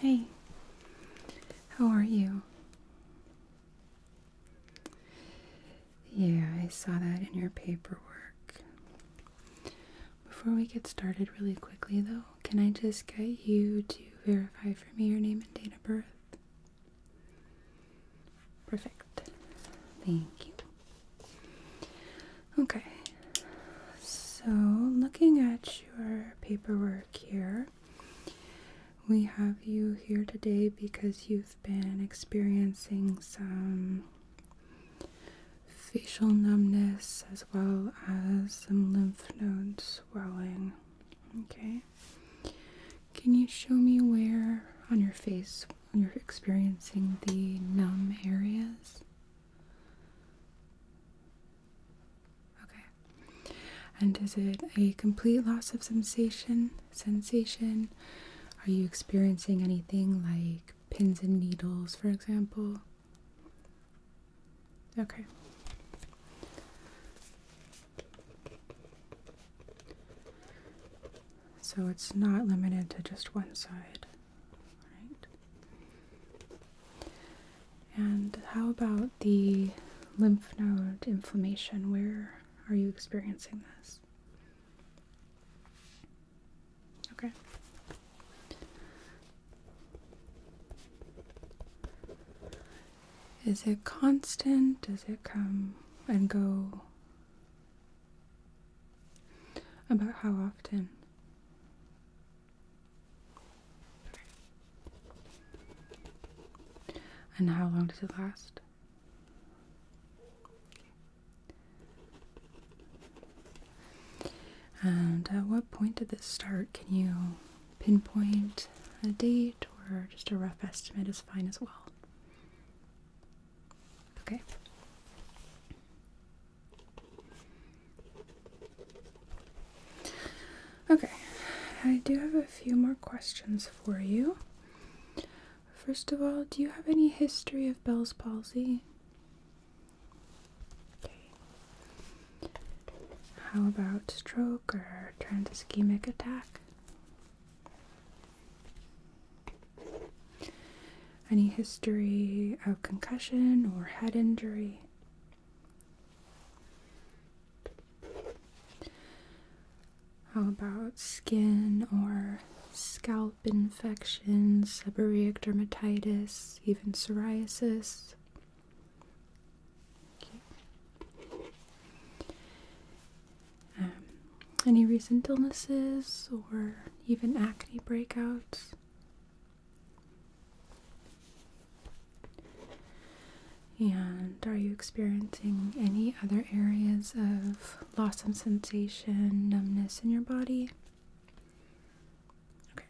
Hey, how are you? Yeah, I saw that in your paperwork. Before we get started really quickly though, can I just get you to verify for me your name and date of birth? Perfect. Thank you. Okay. So, looking at your paperwork here, we have you here today because you've been experiencing some facial numbness as well as some lymph node swelling. Okay. Can you show me where on your face you're experiencing the numb areas? Okay. And is it a complete loss of sensation? Sensation? Are you experiencing anything like pins and needles, for example. Okay. So it's not limited to just one side. Right. And how about the lymph node inflammation? Where are you experiencing this? Okay. Is it constant? Does it come and go? About how often? And how long does it last? And at what point did this start? Can you pinpoint a date or just a rough estimate is fine as well? Okay. Okay, I do have a few more questions for you. First of all, do you have any history of Bell's palsy? How about stroke or ischemic attack? Any history of concussion or head injury? How about skin or scalp infections, seborrheic dermatitis, even psoriasis. Um, any recent illnesses or even acne breakouts? And are you experiencing any other areas of loss of sensation, numbness in your body? Okay.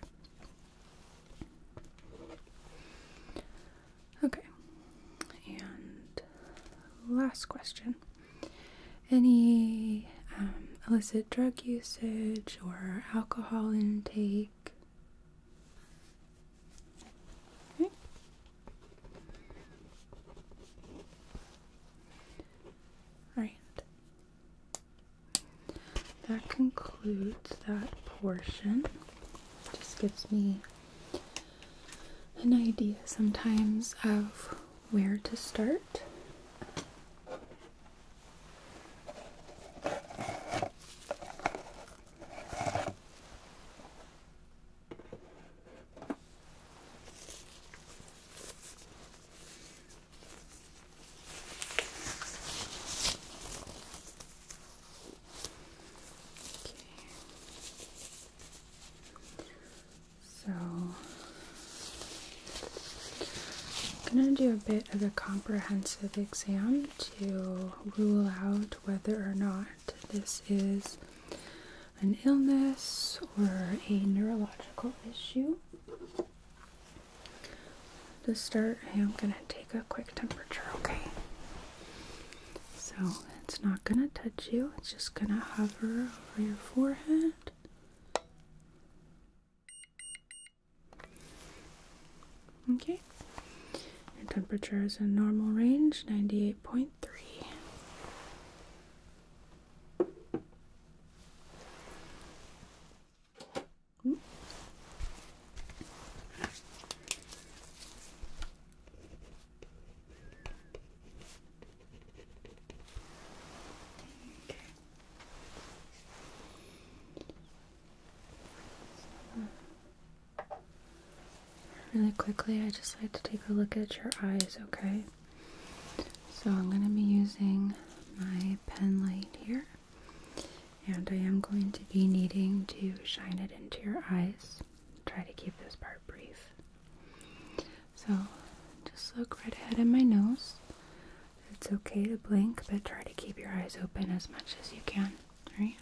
Okay. And last question. Any um, illicit drug usage or alcohol intake? Okay. That concludes that portion. just gives me an idea sometimes of where to start. So I'm going to do a bit of a comprehensive exam to rule out whether or not this is an illness or a neurological issue. To start, I am going to take a quick temperature, okay? So it's not going to touch you, it's just going to hover over your forehead. Okay, your temperature is in normal range 98.3. Really quickly, I just like to take a look at your eyes, okay? So I'm going to be using my pen light here. And I am going to be needing to shine it into your eyes. Try to keep this part brief. So just look right ahead at my nose. It's okay to blink, but try to keep your eyes open as much as you can. Alright?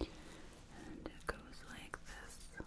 And it goes like this.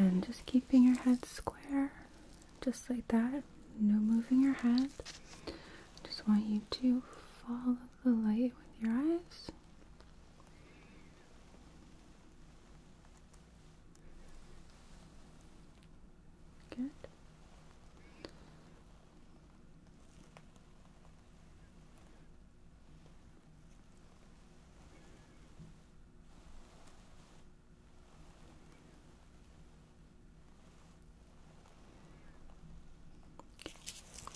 And then just keeping your head square, just like that, no moving your head. Just want you to follow the light with your eyes. Good. Okay,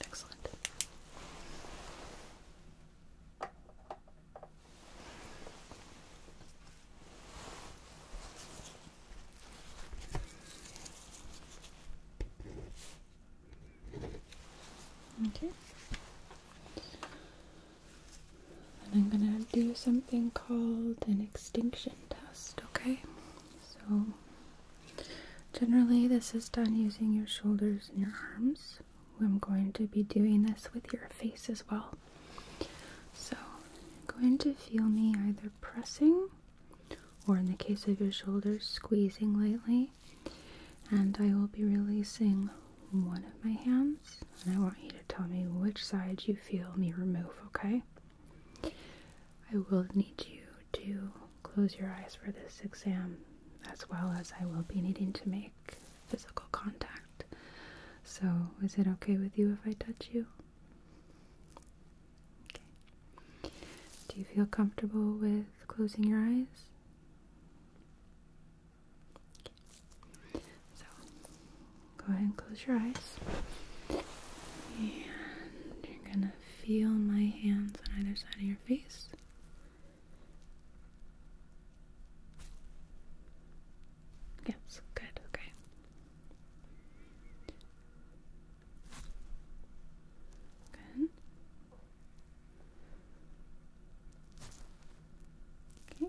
excellent. Okay. I'm gonna do something called an extinction test, okay? So Generally, this is done using your shoulders and your arms. I'm going to be doing this with your face as well. So, going to feel me either pressing or, in the case of your shoulders, squeezing lightly. And I will be releasing one of my hands, and I want you to tell me which side you feel me remove, okay? I will need you to close your eyes for this exam, as well as I will be needing to make physical contact. So, is it okay with you if I touch you? Okay. Do you feel comfortable with closing your eyes? Okay. So, go ahead and close your eyes. And you're gonna feel my hands on either side of your face. Yes, good, okay. Good. Okay.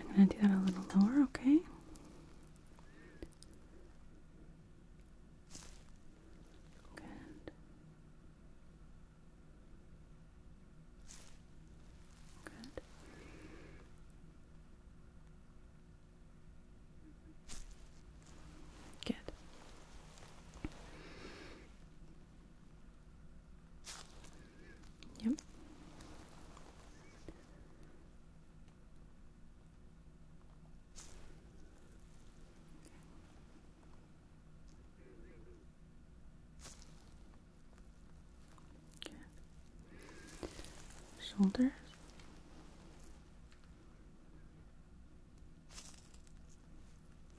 I'm going to do that a little lower, okay? Good. Good. Good. Yep. Okay. Shoulders.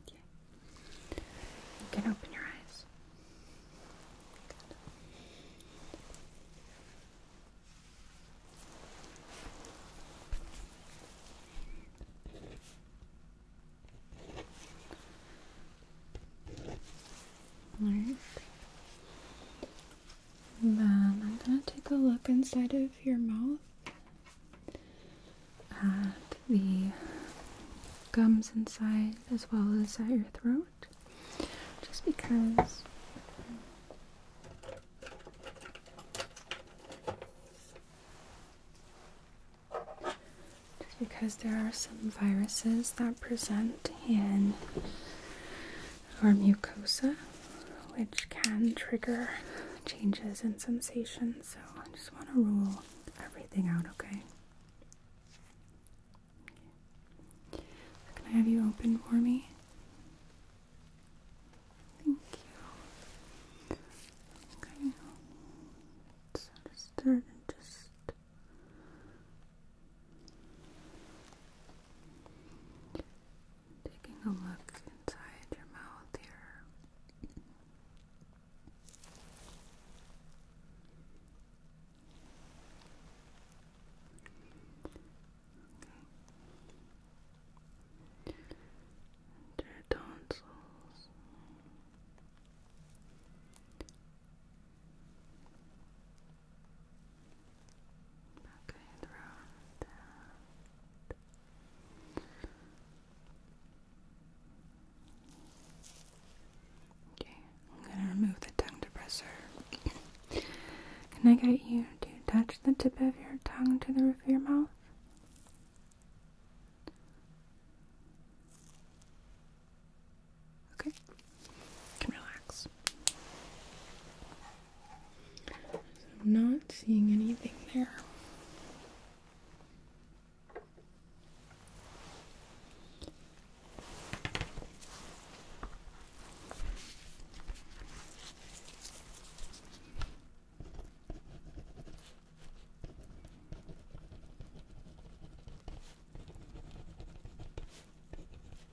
Okay. You can open your eyes. All right. Then um, I'm going to take a look inside of your mouth at the gums inside as well as at your throat just because just because there are some viruses that present in or mucosa, which can trigger changes in sensation. So I just want to rule everything out, okay? can I have you open for me? Thank you. Okay. So just start and just Taking a look inside your mouth here. your tonsils. Okay, and round that. Okay, I'm gonna remove the tongue depressor. Can I get you to touch the tip of your tongue to the roof of your mouth? Okay, can relax. I'm not seeing anything there.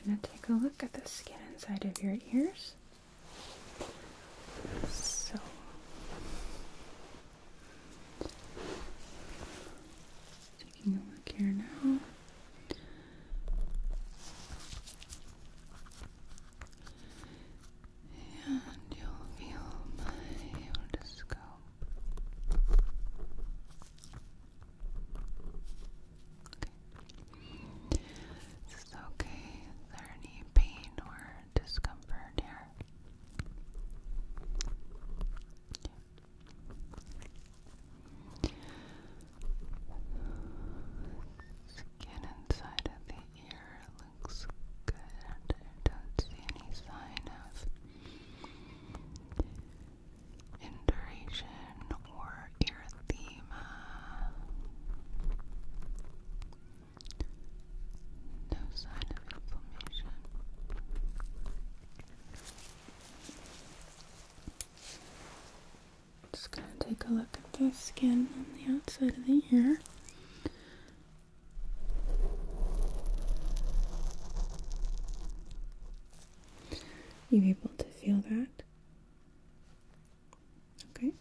I'm going to take a look at the skin inside of your ears. So, taking a look here now and you'll feel my otoscope. Okay. Is this okay? Is there any pain or discomfort here? Skin inside of the ear looks good. I don't see any sign of induration or erythema. No sign of inflammation. Just gonna take a look at the skin on the outside of the ear. You able to feel that? Okay.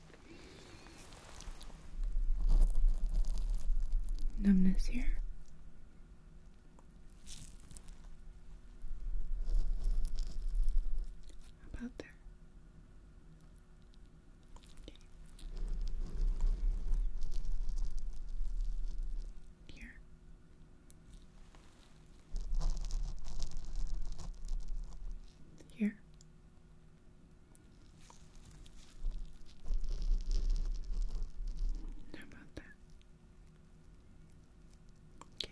Numbness here. How about there? Here. Here. How about that? Okay.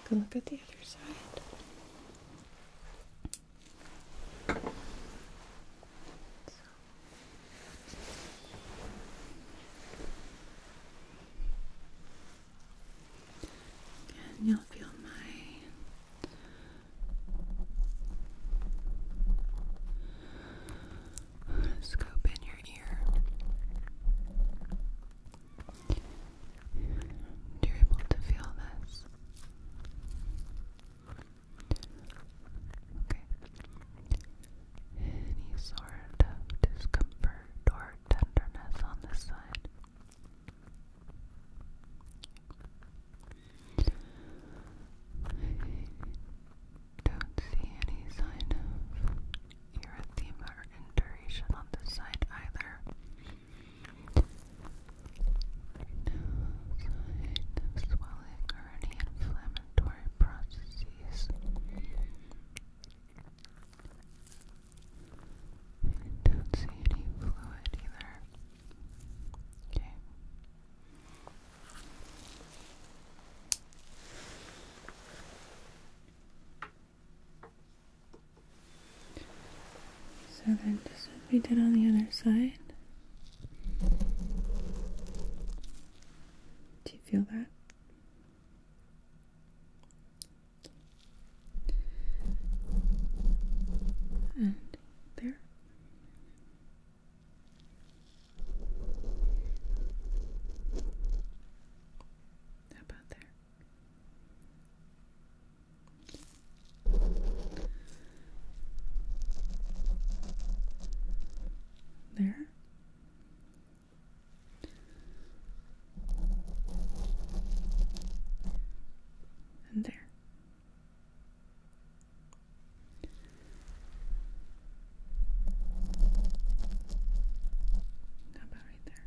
Take a look at the other side. Again, you'll feel my Scoop in your ear. you're able to feel this. Any sort of discomfort or tenderness on this side. I don't see any sign of erythema or induration on this side either. No sign of swelling or any inflammatory processes. I don't see any fluid either. So then just would we did on the other side. Do you feel that? And there. How about there? There. And there. How about right there?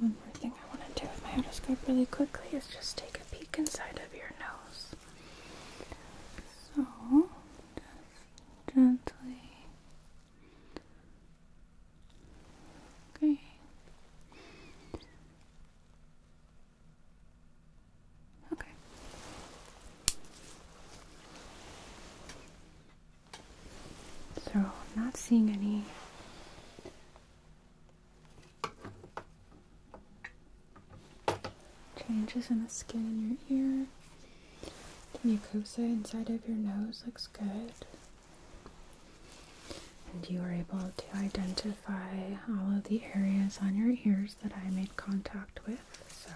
One more thing I want to do with my otoscope really quickly is just take a peek inside of your nose. So, gently Okay. Okay. So, I'm not seeing any changes in the skin in your ear. The mucosa inside of your nose looks good. And you are able to identify all of the areas on your ears that I made contact with. So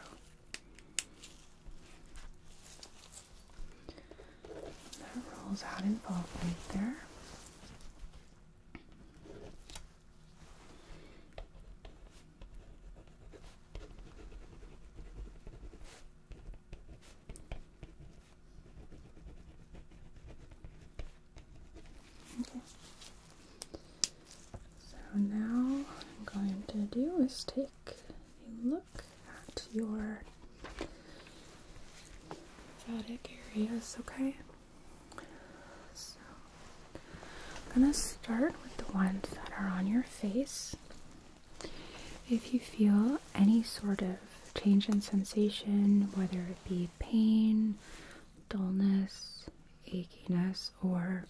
that rolls out right there. Okay. So now what I'm going to do is take a look at your lymphatic areas, okay? So I'm gonna start with the ones that are on your face. If you feel any sort of change in sensation, whether it be pain, dullness, achiness, or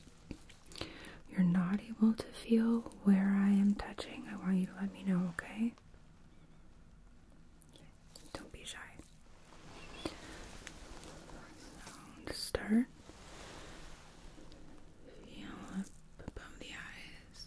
you're not able to feel where I am touching, I want you to let me know, okay? Don't be shy. So, start. Feel up above the eyes.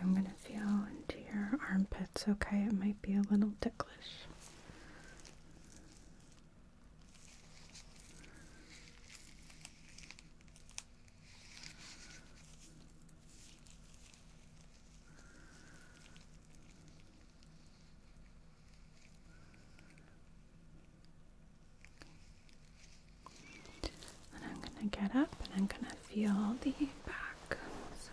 I'm going to feel into your armpits, okay? It might be a little ticklish. And I'm going to get up and I'm going to feel the back. So.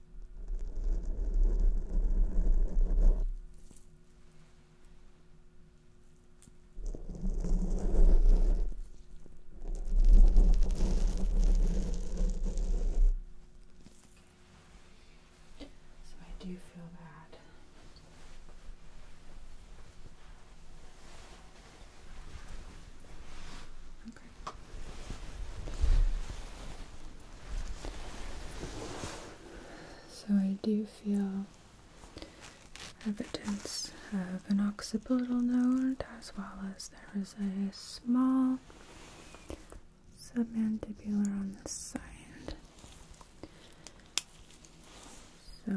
So I do feel bad. Okay. So I do feel evidence of an occipital node as well as there is a small submandibular on this side. So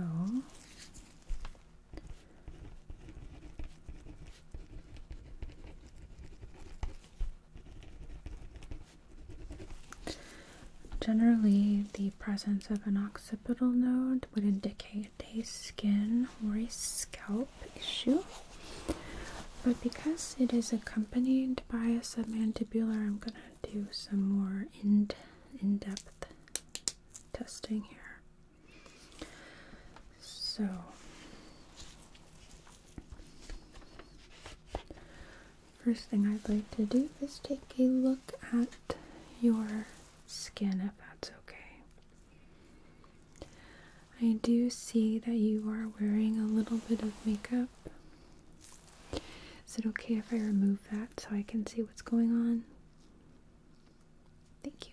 Generally, the presence of an occipital node would indicate a skin or a scalp issue, but because it is accompanied by a submandibular, I'm going to do some more in, in depth testing here. So, First thing I'd like to do is take a look at your skin if that's okay. I do see that you are wearing a little bit of makeup. Is it okay if I remove that so I can see what's going on? Thank you.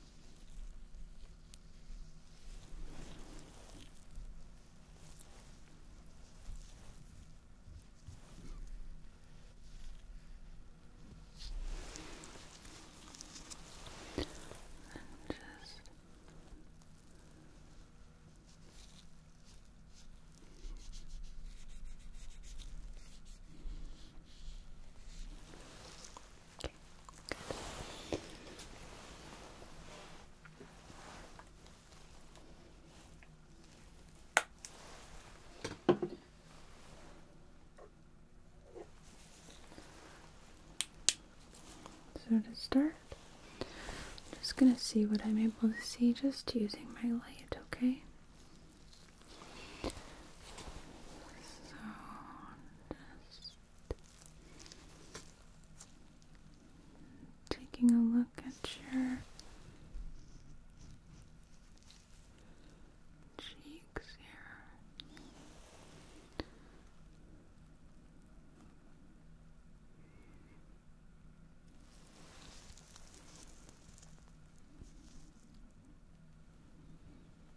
And just so to start, I'm just gonna see what I'm able to see just using my light, okay? So just taking a look at your cheeks here.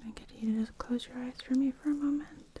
Can I get you to just close your eyes for me for a moment?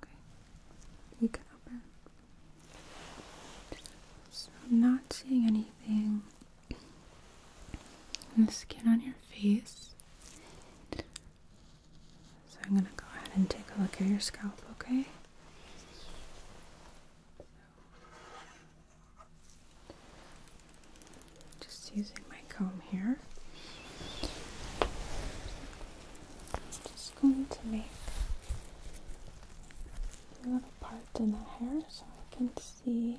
Okay, you can open. So I'm not seeing anything in the skin on your face. So I'm gonna go ahead and take a look at your scalp, okay? Just using my comb here. just going to make a little part in the hair so I can see.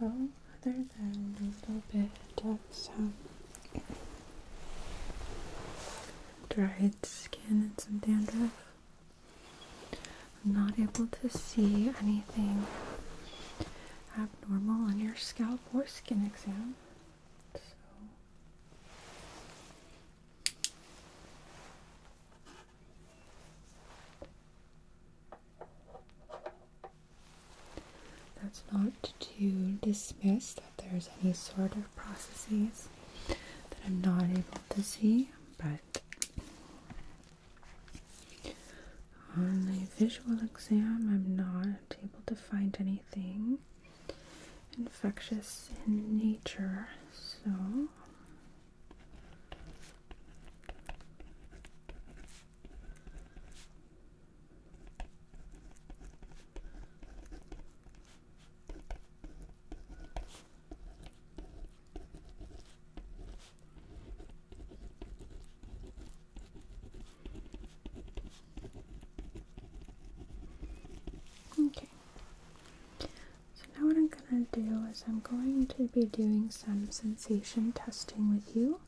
Well, other than a little bit of some dried skin and some dandruff, I'm not able to see anything abnormal on your scalp or skin exam. So that's not to dismiss that there's any sort of processes that I'm not able to see, but on the visual exam, I'm not able to find anything infectious in nature, so. Okay, so now what I'm going to do is I'm going to be doing some sensation testing with you,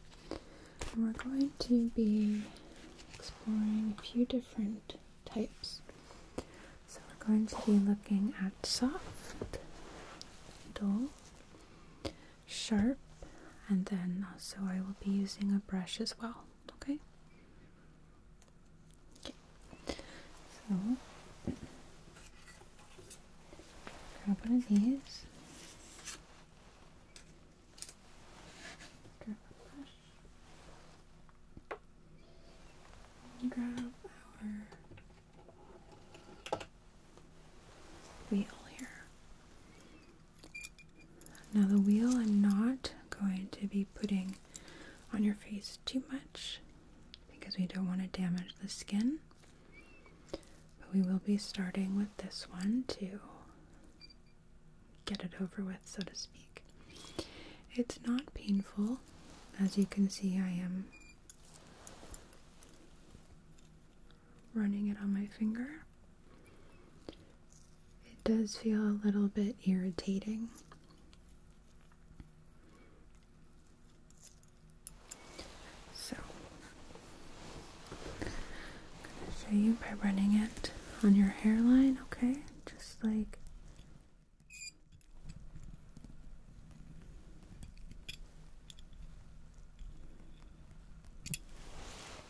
and we're going to be exploring a few different types. So we're going to be looking at soft, dull, sharp, and then also I will be using a brush as well, okay? Okay, so grab one of these. Grab a brush. Grab our wheel here. Now the wheel I'm not going to be putting on your face too much because we don't want to damage the skin. But we will be starting with this one to get it over with, so to speak. It's not painful. As you can see, I am running it on my finger. It does feel a little bit irritating. So, I'm going to show you by running it on your hairline, okay? Just like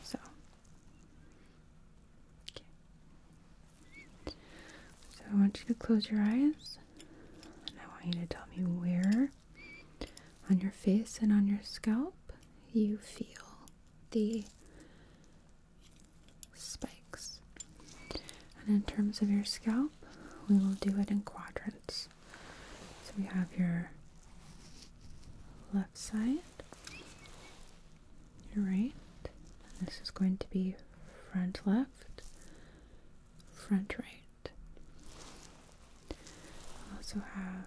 so, So I want you to close your eyes, and I want you to tell me where on your face and on your scalp you feel the spike. And in terms of your scalp, we will do it in quadrants. So we have your left side, your right. this is going to be front left, front right. We also have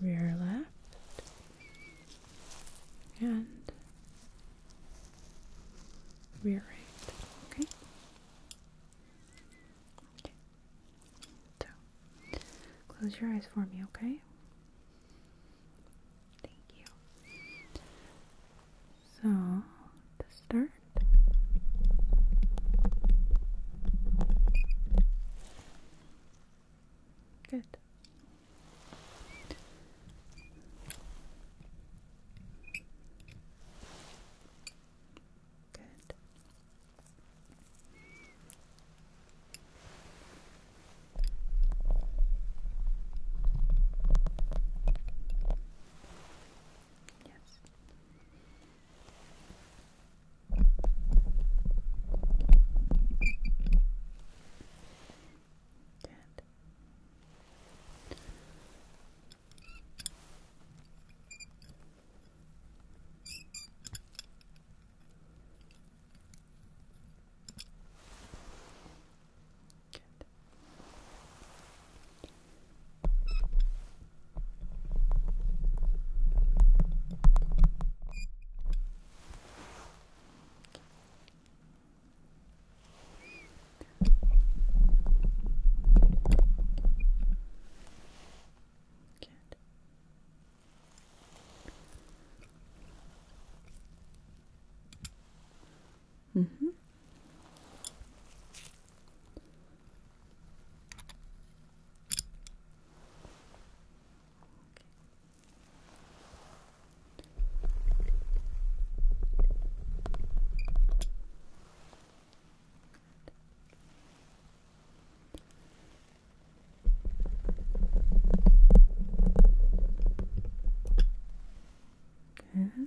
rear left and rear Okay. Okay. So close your eyes for me, okay? Thank you. So to start. Good. Good. Yes. Good. Good. Okay. Good. Mm mm-hmm. Good. Mm -hmm.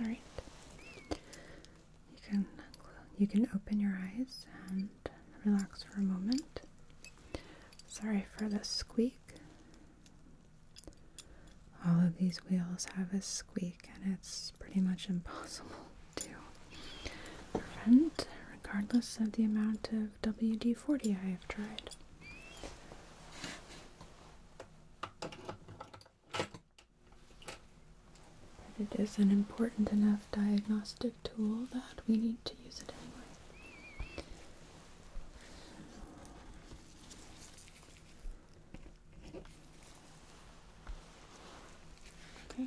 All right. You can you can open your eyes and relax for a moment. Sorry for the squeak. All of these wheels have a squeak and it's pretty much impossible to prevent, regardless of the amount of WD 40 I have tried. it is an important enough diagnostic tool that we need to use it anyway. Okay.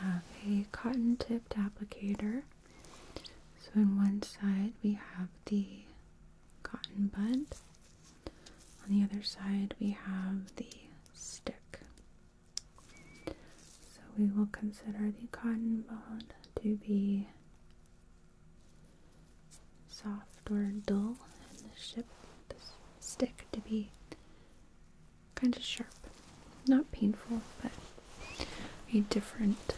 I have a cotton tipped applicator. So, on one side, we have the cotton bud, on the other side, we have the stick. So we will consider the cotton ball to be soft or dull and the stick to be kind of sharp. Not painful, but a different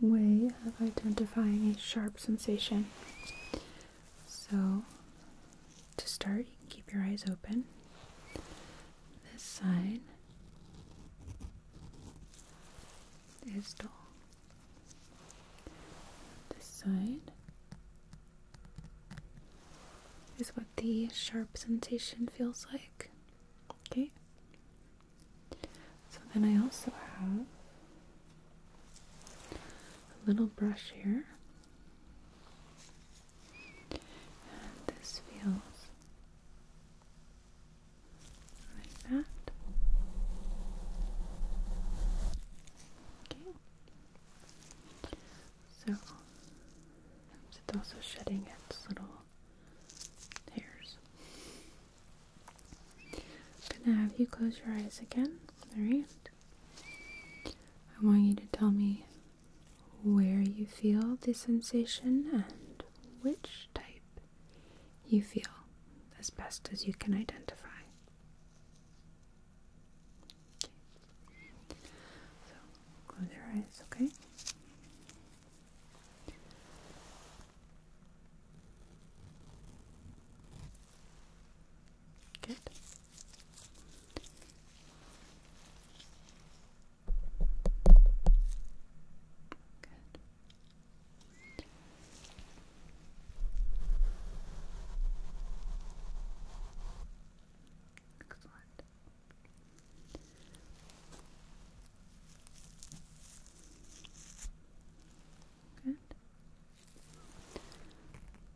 way of identifying a sharp sensation. So to start, keep your eyes open. This side is dull. This side is what the sharp sensation feels like. Okay. So then I also have a little brush here and this feels like that. Okay. So it's also shedding its little hairs. I'm gonna have you close your eyes again. Alright. I want you to tell me where you feel the sensation and which type you feel as best as you can identify. Okay. So close your eyes, okay? Good. Good. Excellent. Good.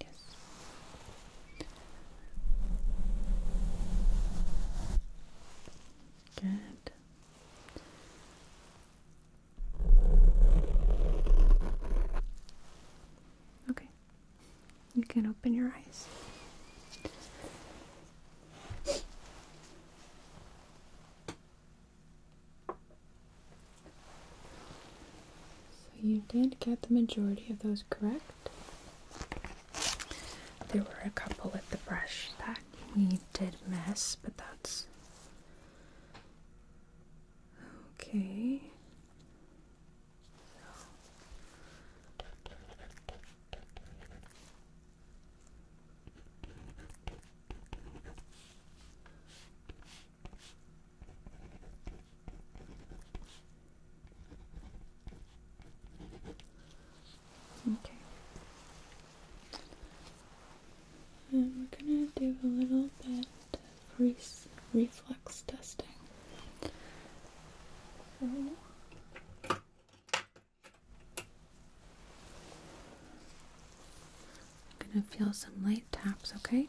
Yes. Good. Okay. You can open your eyes. So you did get the majority of those correct. There were a couple at the brush that you did miss, but that's okay. Okay. And we're gonna do a little bit of reflex testing. I'm gonna feel some light taps, okay?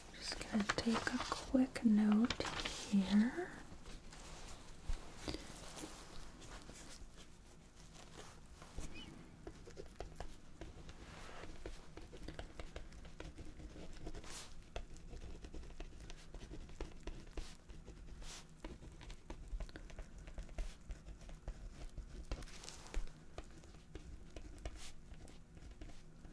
just gonna take a quick note here.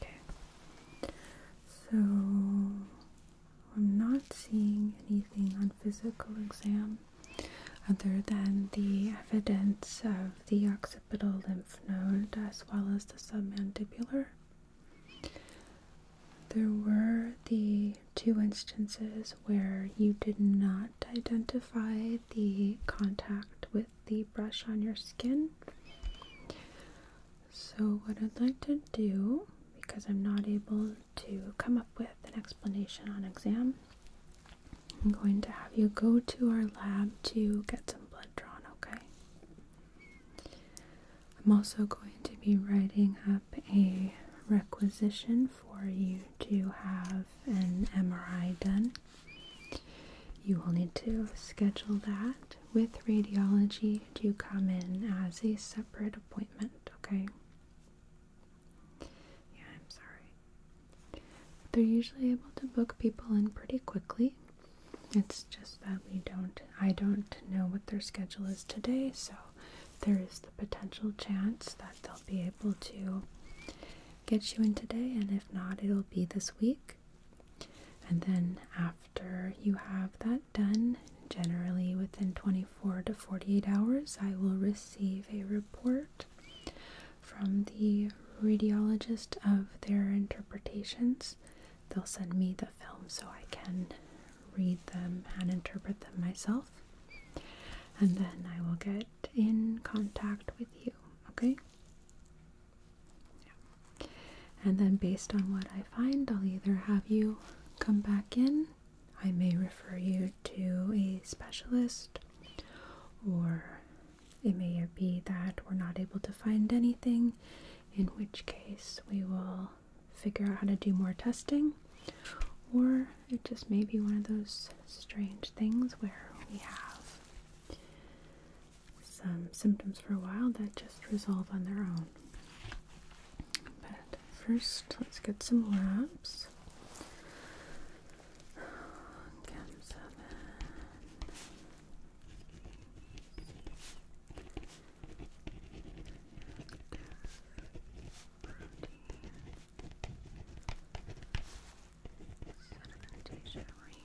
Okay. So I'm not seeing anything on physical exam other than the evidence of the occipital lymph node as well as the submandibular. There were the two instances where you did not identify the contact with the brush on your skin. So, what I'd like to do, because I'm not able to come up with an explanation on exam, I'm going to have you go to our lab to get some blood drawn, okay? I'm also going to be writing up a requisition for you to have an MRI done. You will need to schedule that with radiology to come in as a separate appointment, okay? Yeah, I'm sorry. They're usually able to book people in pretty quickly. It's just that we don't, I don't know what their schedule is today, so there is the potential chance that they'll be able to get you in today, and if not, it'll be this week. And then after you have that done, generally within 24 to 48 hours, I will receive a report from the radiologist of their interpretations. They'll send me the film so I can read them and interpret them myself. And then I will get in contact with you, okay? And then based on what I find, I'll either have you come back in, I may refer you to a specialist, or it may be that we're not able to find anything, in which case we will figure out how to do more testing, or it just may be one of those strange things where we have some symptoms for a while that just resolve on their own. But first, let's get some labs sedimentation rate.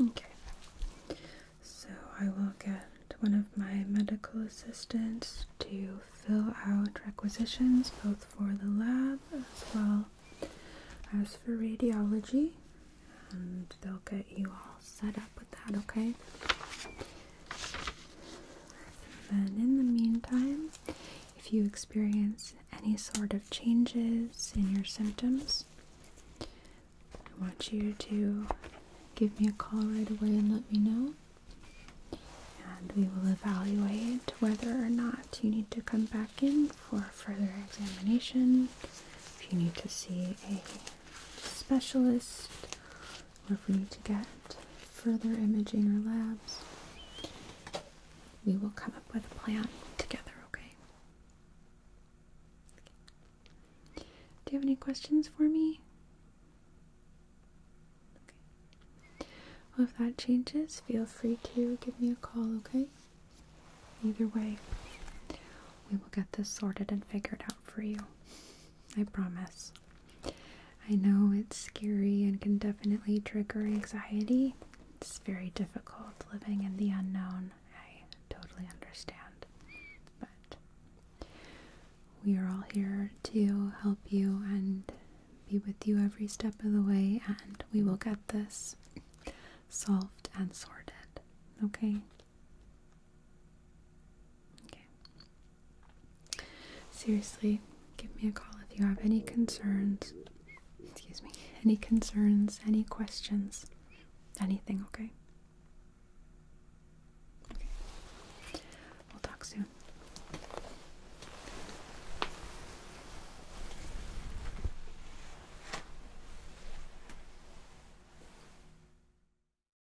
Okay, so I will get one of my medical assistants to fill out requisitions both for the lab as well as for radiology, and they'll get you all set up, that, okay? And then in the meantime, if you experience any sort of changes in your symptoms, I want you to give me a call right away and let me know. And we will evaluate whether or not you need to come back in for further examination, if you need to see a specialist or we need to get further imaging or labs, we will come up with a plan together, okay? Do you have any questions for me? Well, if that changes, feel free to give me a call, okay? Either way, we will get this sorted and figured out for you. I promise. I know it's scary and can definitely trigger anxiety. It's very difficult living in the unknown. I totally understand. But we are all here to help you and be with you every step of the way, and we will get this solved and sorted. Okay? Seriously, give me a call if you have any concerns. Excuse me. Any concerns, any questions, anything, Okay. We'll talk soon.